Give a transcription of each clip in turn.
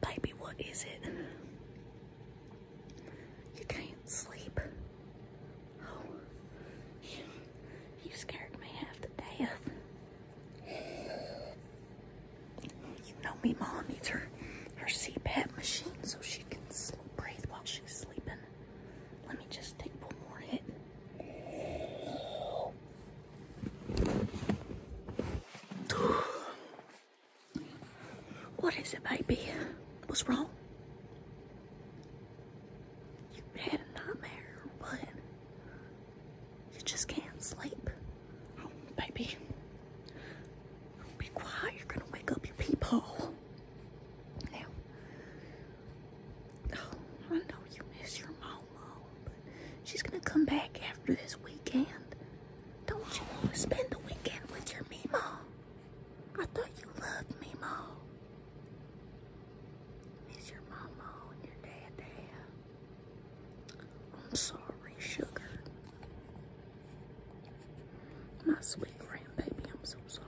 Baby, what is it? You can't sleep. Oh, you, scared me half to death. You know me mom needs her, her CPAP machine so she can breathe while she's sleeping. Let me just take one more hit. What is it, baby? What's wrong? You had a nightmare or you just can't sleep. Oh, baby. Be quiet. You're going to wake up your peephole. Now, oh, I know you miss your mama, she's going to come back after this weekend. Don't you want to spend the weekend with your Mimo? I thought you loved Mima. Miss your mama and your dad. I'm sorry, sugar. My sweet grandbaby, I'm so sorry.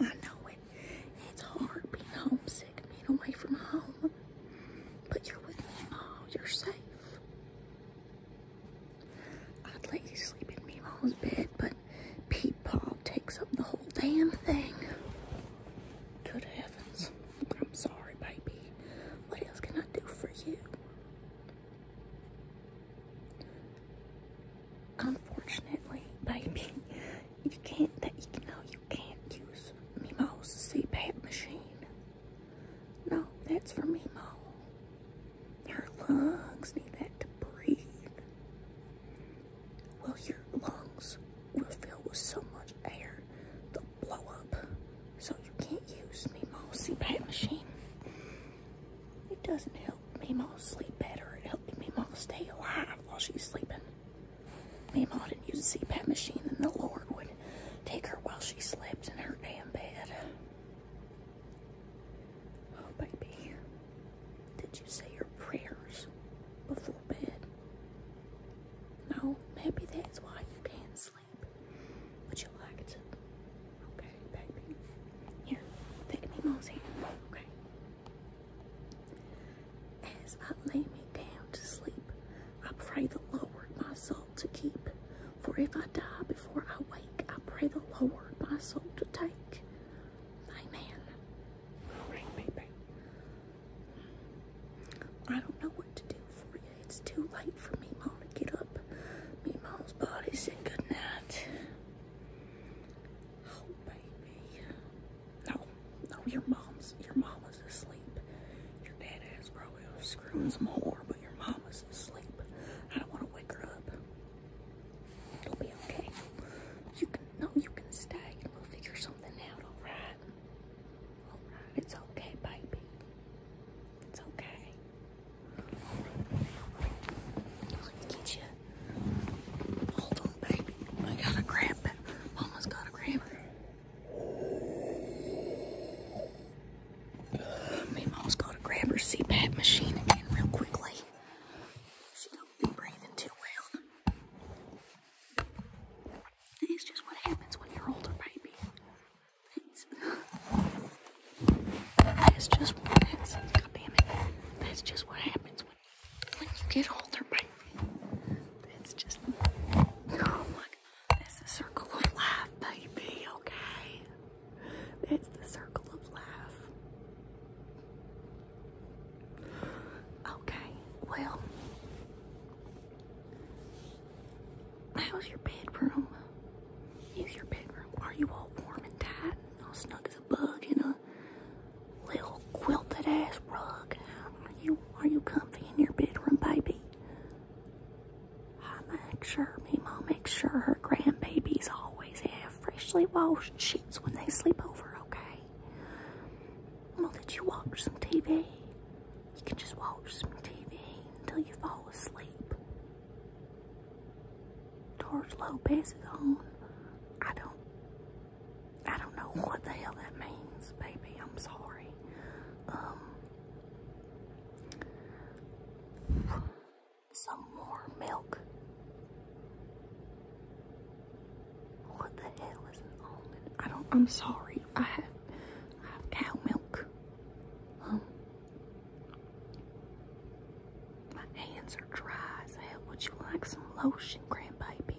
I know it. It's hard being homesick, being away from home. But you're with me, Mom. Oh, you're safe. I'd let you sleep in me Mom's bed, but Pete Paul takes up the whole damn thing. Good heavens. I'm sorry, baby. What else can I do for you? Unfortunately, baby, you can't. That you know you can't use Mimo's CPAP machine. No, that's for Mimo. Her lungs need that to breathe. Well, your lungs we were filled with so much air, they'll blow up. So you can't use Meemaw's CPAP machine. It doesn't help Meemaw sleep better. It helped Meemaw stay alive while she's sleeping. Meemaw didn't use a CPAP machine, and the Lord would take her while she slept in her damn bed. Oh, baby, did you say your prayers before bed? No, maybe that's why you can't sleep. Would you like it. Okay, baby. Here, take me mom's hand. Okay. As I lay me down to sleep, I pray the Lord my soul to keep. For if I die before I wake, I pray the Lord my soul to take. Amen. All right, baby. I don't know what to do for you. It's too late for me, Mom, to get up. Me, Mom's body said good night. Oh, baby. No, no, your mom's, your mama's asleep. Your dad is probably screwing some more, but your mama's asleep. I don't want to wake her up. It'll be okay. You can, no, you can stay and we'll figure something out, all right? it's okay, baby. It's okay. Let's get you. Hold on, baby. I gotta grab it. Almost gotta grab Me mom's gotta grab CPAP machine again real quickly. She don't be breathing too well. It's just what happens when you're older, baby. It's, just what happens. God it. That's just what happens when, when you get older, baby. It's just. Oh my god. That's the circle of life, baby, okay? That's the circle of life. Okay, well, how's your bedroom? Use your bedroom. Are you all warm and tight? all snug as a bug in a little quilted ass rug. Are you are you comfy in your bedroom, baby? I make sure me mom makes sure her grandbabies always have freshly washed sheets when they sleep over, okay? away. Well, did you watch some TV? You can just watch some TV until you fall asleep. George Lopez is on. I don't. I don't know what the hell that means, baby. I'm sorry. Um. Some more milk. What the hell is an almond? I don't, I'm sorry. I have, cow milk. my hands are dry as hell. Would you like some lotion, grandbaby?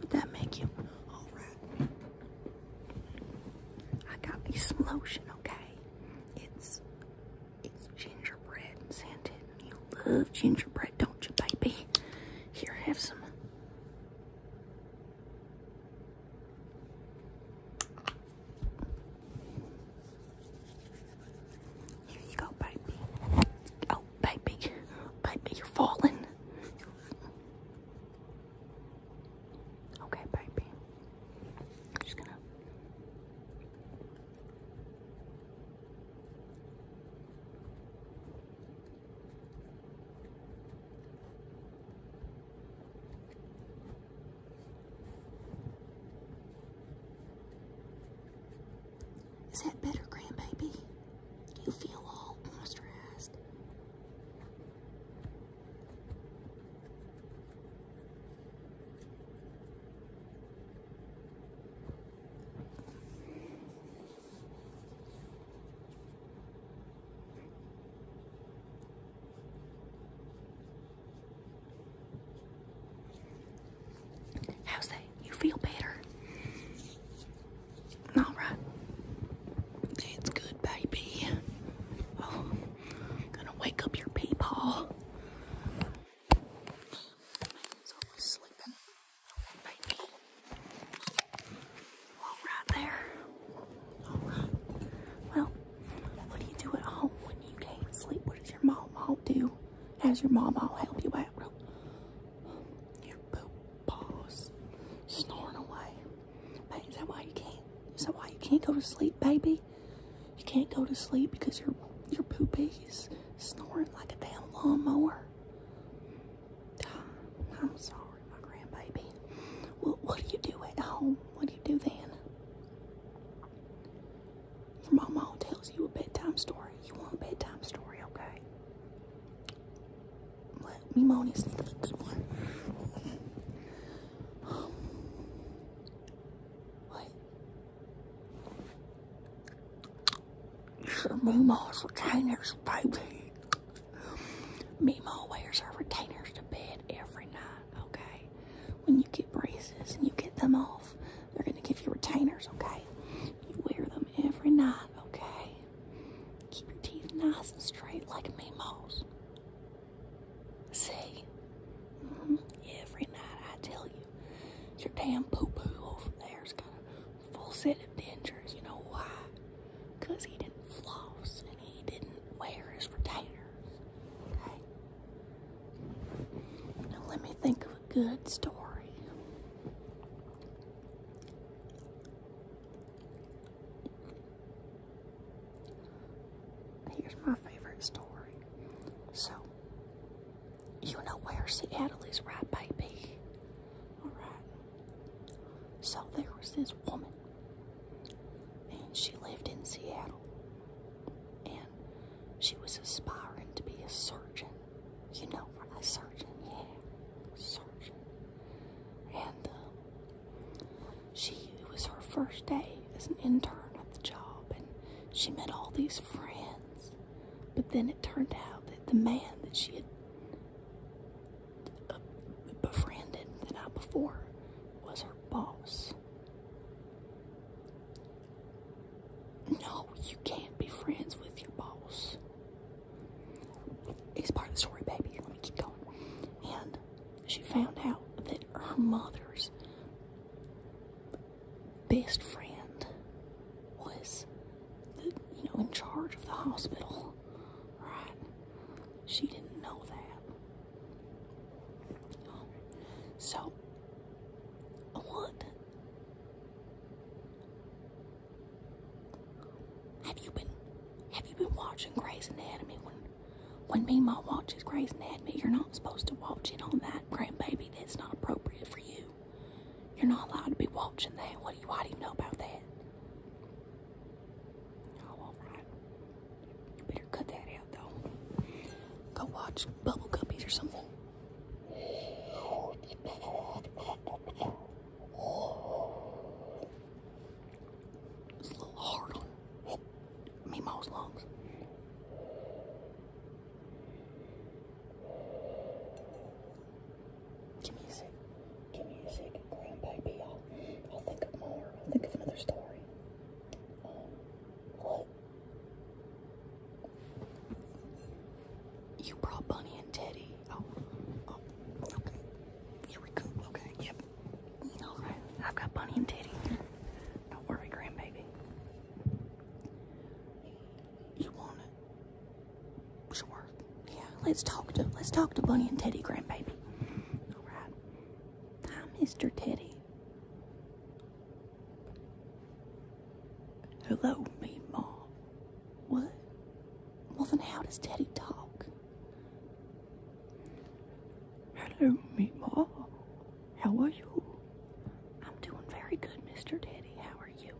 Would that make you all right? I got me some lotion, okay? It's, it's gingerbread and scented love gingerbread, don't you, baby? Here, have some. Here you go, baby. Oh, baby. Baby, you're falling. Okay, baby. I'm just gonna. Is that better, grandbaby? you feel all moisturized? How's that? You feel better? All right. That's good, baby. Oh, gonna wake up your peepaw. He's baby. there. Well, what do you do at home when you can't sleep? What does your mama do? How's your mama help you out? Well, your poop snoring away. Baby, is that why you can't? Is that why you can't go to sleep, baby? You can't go to sleep because your your poopy snoring like a damn lawnmower. I'm sorry, my grandbaby. Well, what do you do at home? What do you do then? Your mama tells you a bedtime story. You want a bedtime story, okay? Let me moan is what? Sure, Meemaw's retainers, baby. Meemaw wears her retainers to bed every night, okay? When you get braces and you get them off, they're going to give you retainers, okay? You wear them every night, okay? Keep your teeth nice and straight like Meemaw's. See? Mm-hmm. Every night I tell you. Your damn poopoo over there's got a full set of dentures. You know why? Because he didn't floss and he didn't wear his retainers. Okay? Now let me think of a good story. Here's my favorite story. So, you know where Seattle is, right, baby? Alright. So, there was this woman, and she lived in Seattle, and she was aspiring to be a surgeon. You know, a surgeon, yeah, a surgeon. And uh, she, it was her first day as an intern at the job, and she met all these friends. But then it turned out that the man that she had uh, befriended the night before was her boss. No, you can't be friends with your boss. It's part of the story, baby. Let me keep going. And she found out that her mother's best friend was, you know, in charge of the hospital, right? She didn't know that. so, what? Have you been, have you been watching Grey's Anatomy? When, when me and my watches Grey's Anatomy, you're I'm supposed to watch it on that grandbaby. That's not appropriate for you. You're not allowed to be watching that. What do you, why do you know about that? Oh, all right. You better cut that out, though. Go watch Bubble Guppies or something. It's a little hard on me, Mom's lungs. Give me a second. Give me a second, grandbaby. I'll, think of more. I'll think of another story. Um, You brought Bunny and Teddy. Oh, oh, okay. Here we go. Okay, yep. All right. I've got Bunny and Teddy. Don't worry, grandbaby. You want it? Sure. Yeah, let's talk to let's talk to Bunny and Teddy grandbaby. Alright. Hi, Mr. Teddy. Hello, me mom. What? Well then how does Teddy talk? Hello, Meemaw. How are you? I'm doing very good, Mr. Daddy. How are you?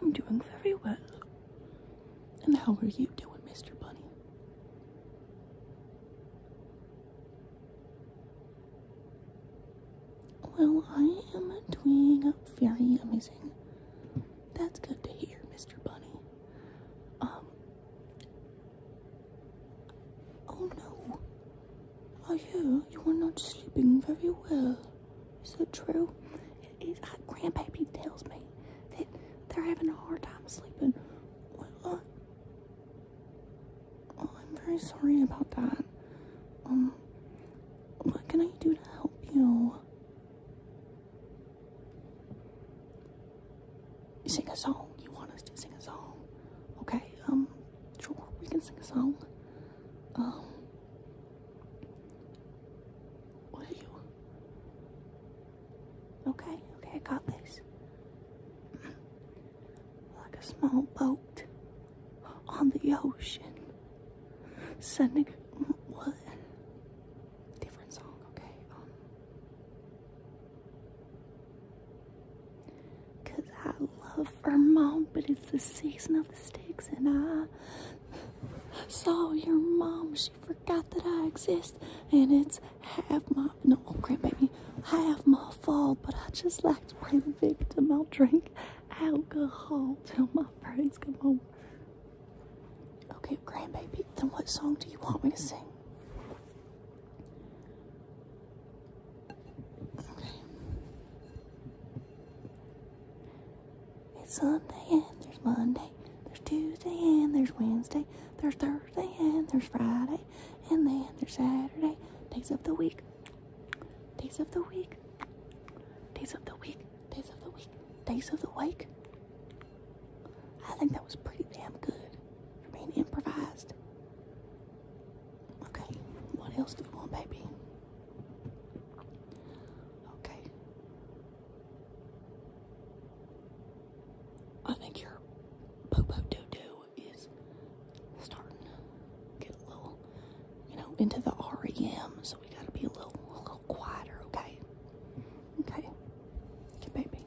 I'm doing very well. And how are you doing, Mr. Bunny? Well, I am doing very amazing. That's good to hear, Mr. Bunny. Um, Oh no. Are you? you are not sleeping very well. Is that true? It is. Uh, Grandpappy tells me that they're having a hard time sleeping. Well, oh, I'm very sorry about that. Um, what can I do to help you? sing a song. You want us to sing a song? Okay, um, sure, we can sing a song. Um, what are you? Okay, okay, I got this. Like a small boat on the ocean, sending what? Different song, okay. Um, Cause I love Vermont, but it's the season of the sticks, and I saw your mom. She forgot that I exist, and it's half my no, oh, Grandbaby, half my fault. But I just like to play the victim. I'll drink alcohol till my friends come home. Okay, grandbaby, then what song do you want me to sing? It's Sunday and there's Monday, there's Tuesday and there's Wednesday, there's Thursday and there's Friday, and then there's Saturday. Days of the week, days of the week, days of the week, days of the week, days of the week. I think that was pretty damn good. You're being improvised. Okay, what else do you want, baby? Okay. I think your poo poo doo doo is starting to get a little, you know, into the REM, so we gotta be a little, a little quieter, okay? Okay. Okay, baby.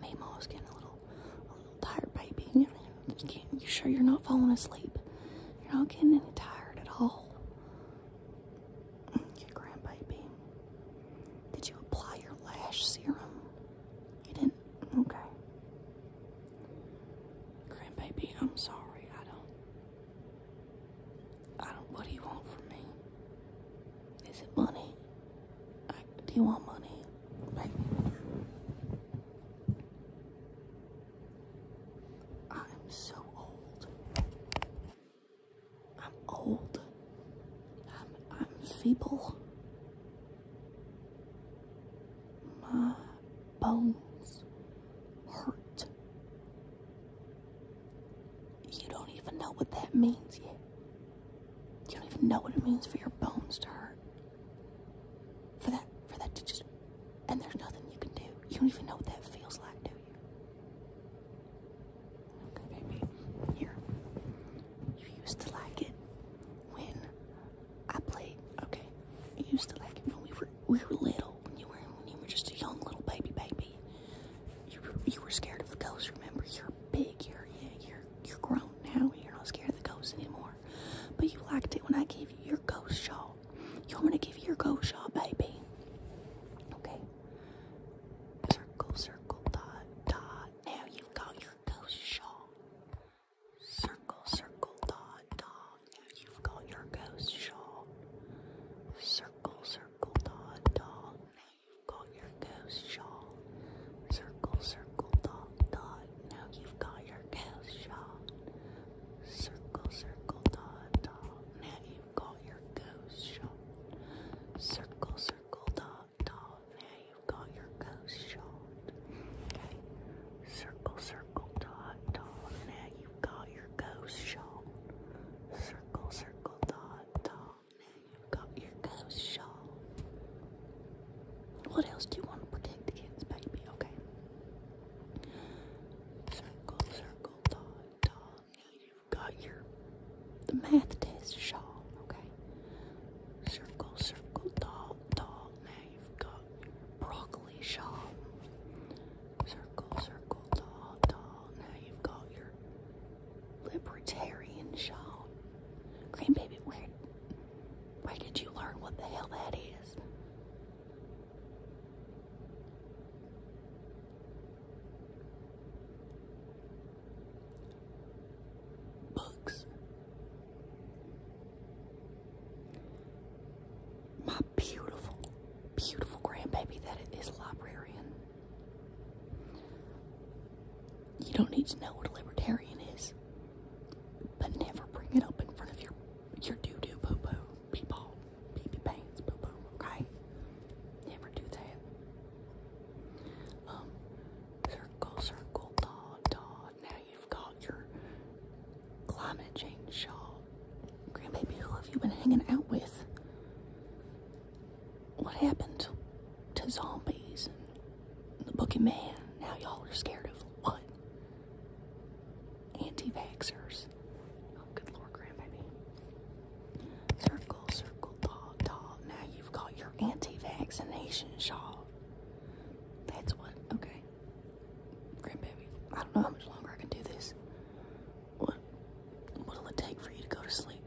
Maybe I was getting a little, a little tired, baby. You, you sure you're not falling asleep? You're not getting any tired at all. Yeah, grandbaby. Did you apply your lash serum? You didn't? Okay. Grandbaby, I'm sorry. I don't. I don't. What do you want from me? Is it money? do you want money? I'm so old. I'm old. I'm, I'm feeble. My bones hurt. You don't even know what that means yet. You don't even know what it means for your bones to hurt. For that, for that to just, and there's nothing you can do. You don't even know what that feels like, do you? Okay, baby. Here. You used to like it when I played. Okay. You used to like it when we were we were little. When you were when you were just a young little baby baby. You were, you were scared of the ghosts. Remember, you're big, you're you're you're grown now, you're not scared of the ghosts anymore. But you liked it when I gave you your ghost shawl. You want going to give you your ghost shawl, baby? Okay. Circle, circle, dot, dot. Now you got your ghost shawl. Circle, circle, dot, dot. Now you've got your ghost shawl. Circle, circle, dot, dot you've got your ghost shawl. Circle, circle, dot, dot. Now you've got your ghost shot. Circle, circle, dot, dot. Now you've got your ghost shot. Circle, circle, dot, dot. Now you've got your ghost shot. Circle, circle, dot, dot. Now you've got your ghost shawl. Circle, circle, dot, dot. Now You have got your ghost shawl. What else do you want to protect kids, baby? Okay. Circle, circle, dot, dot. Now you've got your the math test shawl. Okay. Circle, circle, dot, dot. Now you've got broccoli shawl. Circle, circle, dot, dot. Now you've got your libertarian shawl. Grandbaby, where, where did you learn what the hell that is? Books. My beautiful, beautiful grandbaby that is librarian. You don't need to know what a libertarian is, but never bring it up in front of your your doo doo poo poo people, pee pee pants poo poo. Okay, never do that. Um, circle, circle, dot, dot. Now you've got your climate change shawl. Grandbaby, who have you been hanging out with? what happened to zombies and the man. Now y'all are scared of what? anti vaxers oh, good lord, grandbaby. Circle, circle, dog, dog. Now you've got your anti-vaccination shawl. That's what, okay. Grandbaby, I don't know how much longer I can do this. What? What'll it take for you to go to sleep?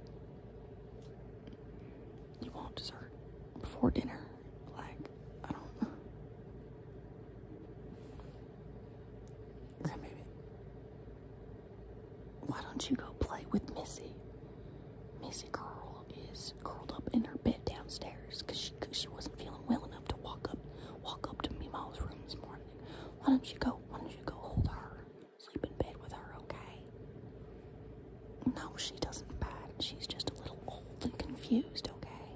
You want dessert before dinner? Like, I don't know. Grandbaby, why don't you go play with Missy? Missy Girl is curled up in her bed downstairs because she, cause she wasn't feeling well enough to walk up walk up to Mima's room this morning. Why don't you go? Why don't you go hold her? sleep in bed with her, okay? No, she doesn't bite. She's just a little old and confused, okay?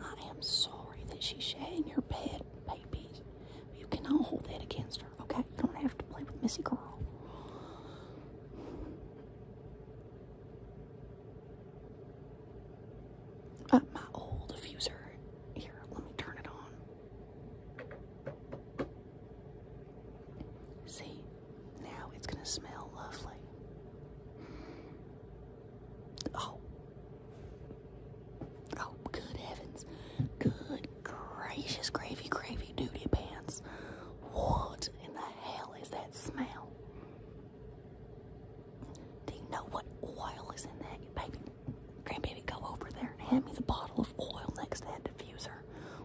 I am sorry that she's sharing your bed, baby. You cannot hold that against her, okay? You don't have to play with Missy Girl. Uh, my old diffuser. Here, let me turn it on. See, now it's going to smell lovely. Oh. Oh, good heavens. Good gracious gravy, gravy duty pants. What in the hell is that smell? Do you know what oil is in that, baby? Grandbaby, go over there and hand me the bottle of oil next to that diffuser.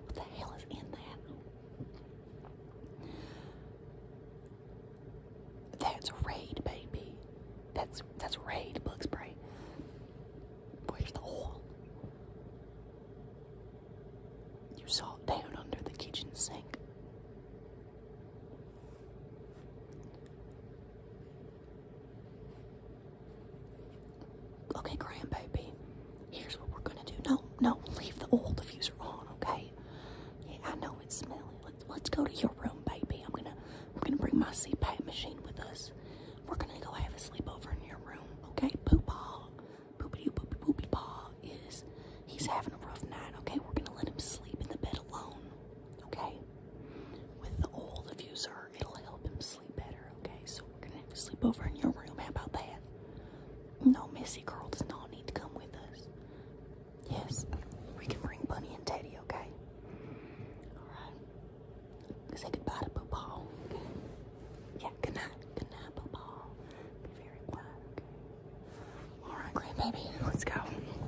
What the hell is in that? That's Raid, baby. That's that's Raid bug spray. Where's the oil? You saw it down under the kitchen sink. Okay, grandbaby, here's what we're gonna do. No, no, leave the oil diffuser on, okay? Yeah, I know it's smelly. Let's, let's go to your room, baby. I'm gonna, we're gonna bring my CPAP machine with us. We're gonna go have a sleepover in your room, okay? Poopaw, poopity poopy poopy paw is, he's having a rough night, okay? We're gonna let him sleep in the bed alone, okay? with the oil diffuser, it'll help him sleep better, okay? So we're gonna have to sleep over in your room. How about that? No, Missy Girl does not need to come with us. Yes, we can bring Bunny and Teddy, okay? Alright. Say goodbye to Pooh Yeah, good night. Good Be very quiet, okay? Alright, grandbaby, let's go.